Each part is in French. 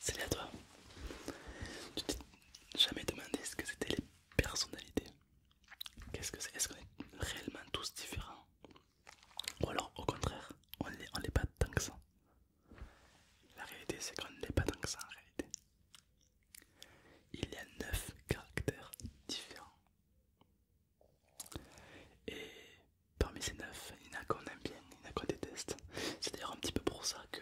Salut à toi. Tu t'es jamais demandé ce que c'était les personnalités Qu'est-ce que c'est Est-ce qu'on est réellement tous différents Ou alors au contraire, on l'est pas tant que ça La réalité c'est qu'on ne l'est pas tant que ça en réalité. Il y a 9 caractères différents. Et parmi ces neuf, il y en a qu'on aime bien, il y en a qu'on déteste. C'est d'ailleurs un petit peu pour ça que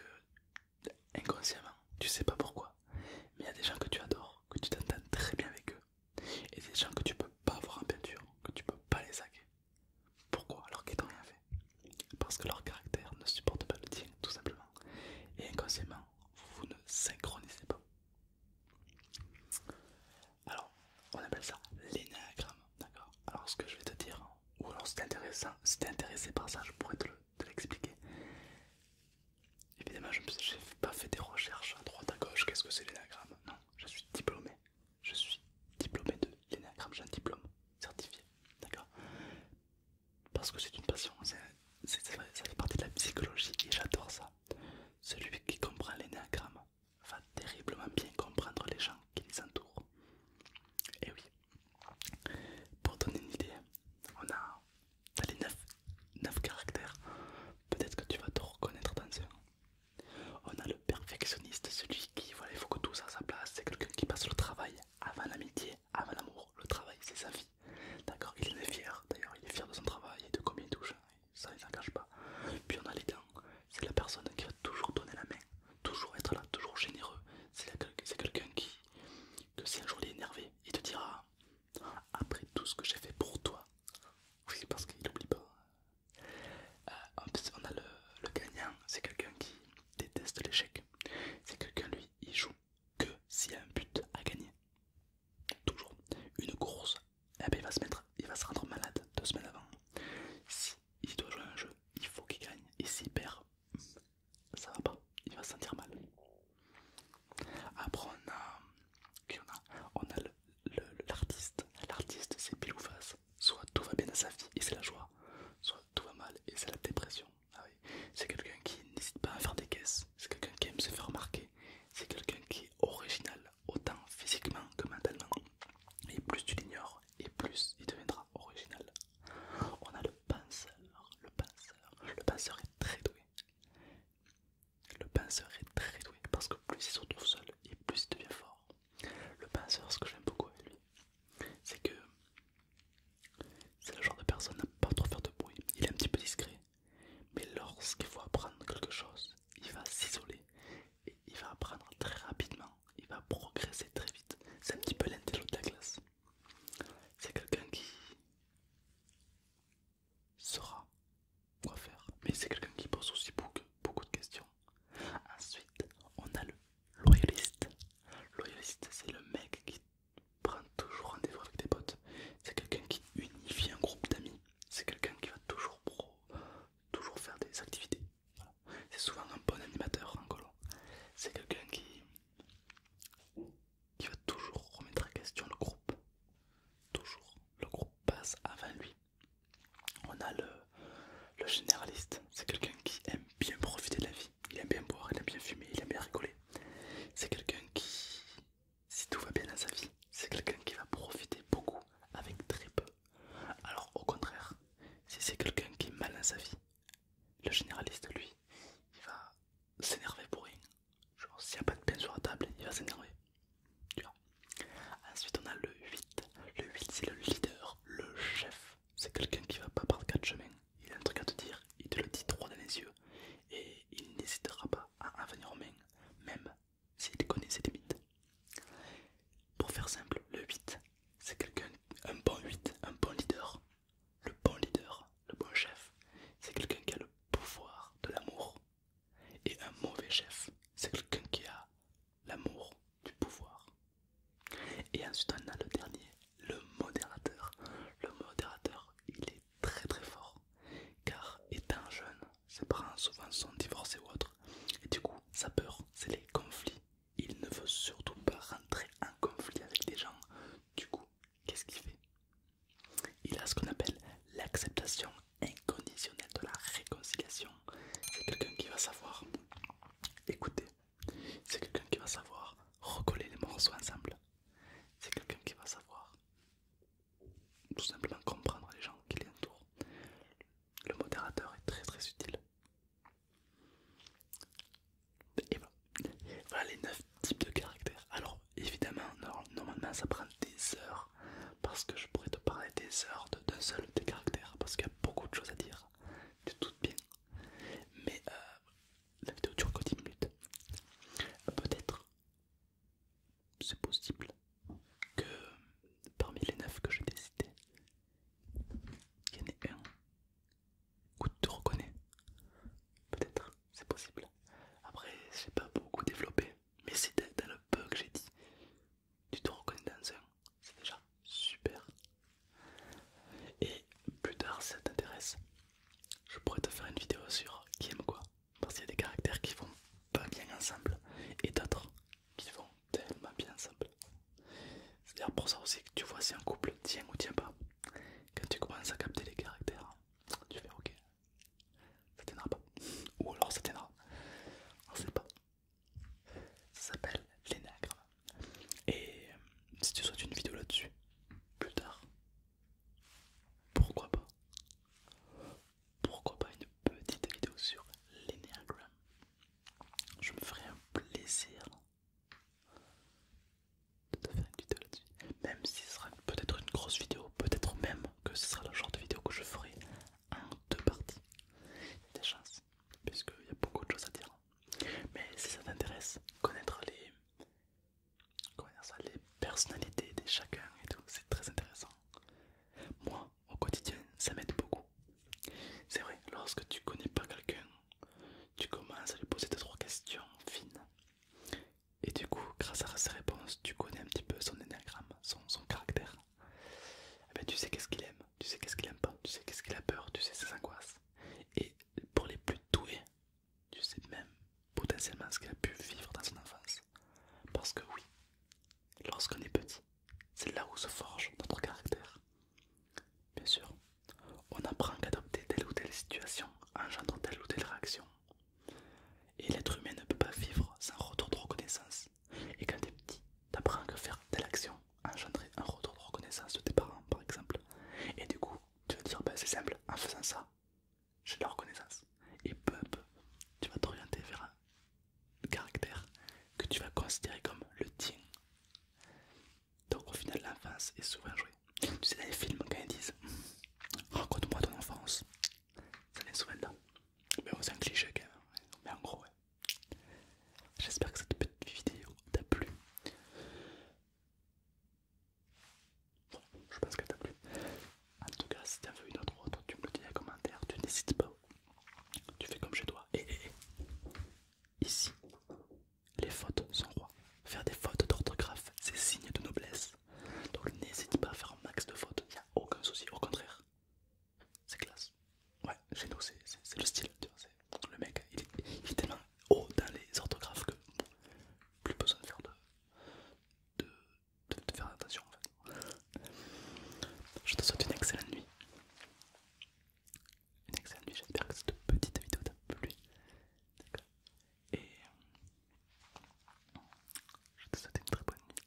inconsciemment, tu sais pas pourquoi, mais il y a des gens que tu adores, que tu t'entends très bien avec eux, et des gens que tu ne peux pas avoir en peinture, que tu peux pas les saquer. Pourquoi alors qu'ils n'ont rien fait Parce que leur caractère ne supporte pas le tien, tout simplement. Et inconsciemment, vous ne synchronisez pas. Alors, on appelle ça l'énagramme d'accord Alors, ce que je vais te dire, ou alors si t'es intéressé, intéressé par ça, je pourrais te l'expliquer. Évidemment, je n'ai pas fait des recherches à droite à gauche, qu'est-ce que c'est l'énagramme Non, je suis diplômé. Je suis diplômé de l'énagramme, j'ai un diplôme certifié, d'accord Parce que c'est une passion, C'est ça fait partie de la psychologie et j'adore ça. Celui qui comprend l'énéagramme va terriblement bien comprendre les gens qui les entourent. Et eh oui, pour donner une idée, on a les 9, caractères, peut-être que tu vas te reconnaître dans un. On a le perfectionniste, celui qui, voilà, il faut que tout soit à sa place, c'est quelqu'un qui passe le travail avant l'amitié, avant l'amour. Le travail, c'est sa vie. D'accord Il est fier, d'ailleurs, il est fier de son travail et de combien il touche, hein. ça il s'en pas. Puis on a les dents, c'est la personne qui va toujours donner la main, toujours être là, toujours généreux. C'est quelqu'un qui, si un jour il est énervé, il te dira Après tout ce que j'ai fait pour toi, oui, parce qu'il oublie pas. Euh, on a le gagnant, c'est quelqu'un qui déteste l'échec. C'est quelqu'un, lui, il joue que s'il y a un but à gagner. Toujours. Une course, eh ben, il va se mettre, il va se rendre malade deux semaines avant. Si doit jouer à un jeu, il faut qu'il gagne. Et s'il perd, hmm, ça va pas, il va se sentir mal. Après on a, l'artiste. L'artiste c'est pile ou face. Soit tout va bien à sa vie et c'est la joie, soit tout va mal et c'est la dépression. Ah c'est quelqu'un qui n'hésite pas à faire des caisses, c'est quelqu'un qui aime se faire remarquer, c'est quelqu'un qui est original, autant physiquement que mentalement. Et plus tu l'ignores, et plus il deviendra original. On a le penseur, le penseur, le penseur est très doué. Le penseur est très doué parce que plus il se retrouve seul et plus il devient fort. Le penseur, ce que j'aime beaucoup avec lui, c'est que c'est le genre de personne à pas trop faire de bruit, il est un petit peu discret. Mais lorsqu'il faut apprendre quelque chose, il va s'isoler et il va apprendre très rapidement, il va progresser très vite. C'est un petit peu l'intello de la classe. C'est quelqu'un qui saura quoi faire, mais c'est quelqu'un qui pose aussi beaucoup, beaucoup de questions. Ensuite, on a le loyaliste. Loyaliste, c'est le mec qui prend toujours rendez-vous avec des potes. C'est quelqu'un qui unifie un groupe d'amis. C'est quelqu'un qui va toujours pro, toujours faire des activités. C'est souvent un bon animateur en hein, colo. C'est quelqu'un qui, qui va toujours remettre en question le groupe. Toujours. Le groupe passe avant lui. On a le, le généraliste. C'est quelqu'un qui aime bien profiter de la vie. Il aime bien boire, il aime bien fumer, il aime bien rigoler. C'est quelqu'un qui, si tout va bien dans sa vie, c'est quelqu'un qui va profiter beaucoup avec très peu. Alors au contraire, si c'est quelqu'un qui est mal dans sa vie, le généraliste lui, il va s'énerver pour rien. Genre s'il n'y a pas de pain sur la table, il va s'énerver. Ensuite on a le 8. Le 8 c'est le leader, le chef. C'est quelqu'un qui va pas par quatre chemins. Il a un truc à te dire, il te le dit droit dans les yeux. Et il n'hésitera pas à en venir en main même s'il connaît ses limites. Pour faire simple, le 8, c'est quelqu'un, un bon 8, un bon leader. Le bon leader, le bon chef, c'est quelqu'un qui a le pouvoir de l'amour. Et un mauvais chef, c'est quelqu'un qui a l'amour du pouvoir et ensuite on a le dernier, le modérateur. Le modérateur, il est très très fort, car étant jeune, ses parents souvent son divorcés et autre et du coup sa peur, c'est les conflits. Il ne veut surtout pas rentrer en conflit avec des gens. Du coup, qu'est-ce qu'il fait Il a ce qu'on appelle l'acceptation inconditionnelle de la réconciliation. C'est quelqu'un qui va savoir, écoutez, c'est quelqu'un qui va savoir recoller les morceaux ensemble. C'est quelqu'un qui va savoir tout simplement comprendre les gens qui l'entourent. Le modérateur est très très utile. Et voilà, les 9 types de caractères. Alors évidemment, normalement ça prend des heures parce que je pourrais te parler des heures d'un seul des caractères parce qu'il y a beaucoup de choses à dire. Tu toutes bien, mais euh, la vidéo dure que 10 minutes. Peut-être c'est possible que parmi les 9 que j'ai décidé, il y en ait un que tu reconnais. Peut-être, c'est possible. Après, j'ai pas beaucoup développé, mais c'est dans le peu que j'ai dit tu te reconnais dans un, c'est déjà super. Et plus tard, si ça t'intéresse, je pourrais te faire une vidéo sur qui aime quoi, parce qu'il y a des caractères qui vont pas bien ensemble et d'autres qui vont tellement bien ensemble. C'est à dire pour ça aussi que tu vois si un couple tient ou tient pas. Quand tu commences à capter les caractères, tu fais ok, ça tiendra pas, ou alors ça tiendra, on sait pas. Ça s'appelle l'énagramme. Et euh, si tu souhaites une vidéo là-dessus, plus tard, pourquoi pas Pourquoi pas une petite vidéo sur l'énagramme Je me ferai un plaisir de te faire une vidéo là-dessus. Même si ce sera peut-être une grosse vidéo, peut-être même que ce sera le genre de vidéo que je ferai en deux parties. des chances puisqu'il y a beaucoup de choses à dire. Mais si ça t'intéresse, connaître les, les personnalités de chacun et tout, c'est très intéressant. Moi, au quotidien, ça m'aide beaucoup. C'est vrai, lorsque tu connais pas quelqu'un, tu commences à lui poser deux trois questions fines. Et du coup, grâce à ses réponses, tu connais un petit peu son énagramme, son caractère. Eh ben, tu sais qu'est-ce qu'il aime, tu sais qu'est-ce qu'il aime pas, tu sais qu'est-ce qu'il a peur, tu sais ses angoisses. Et pour les plus doués, tu sais même potentiellement ce qu'il a pu vivre dans son enfance. Parce que oui, lorsqu'on est petit, c'est là où se forge notre caractère. Bien sûr, on apprend qu'adopter telle ou telle situation engendre telle ou telle réaction. Et l'être humain ne peut pas vivre sans retour de reconnaissance et quand t'es petit, t'apprends que faire telle action engendrer un retour de reconnaissance de tes parents, par exemple. Et du coup, tu vas te dire, c'est simple, en faisant ça, j'ai de la reconnaissance. Et peu à peu, tu vas t'orienter vers un caractère que tu vas considérer comme le tien. Donc au final, l'enfance est souvent jouée. Tu sais, dans les films, quand ils disent Raconte-moi ton enfance, ça vient souvent là. Mais on c'est un cliché quand même. Hein. Mais en gros, J'espère que cette petite vidéo t'a plu. je pense qu'elle t'a plu. En tout cas, si t'en veux une autre, autre, tu me le dis en commentaire. Tu n'hésites pas. Tu fais comme chez toi. ici, les fautes sont rois. Faire des fautes d'orthographe, c'est signe de noblesse. Donc n'hésite pas à faire un max de fautes, il n'y a aucun souci, au contraire. C'est classe. Ouais, chez nous c'est le style, tu le mec il est, tellement haut dans les orthographes que plus besoin de faire de, faire attention en fait. Je te souhaite une excellente nuit. Une excellente nuit, j'espère que cette petite vidéo t'a plu. Et je te souhaite une très bonne nuit.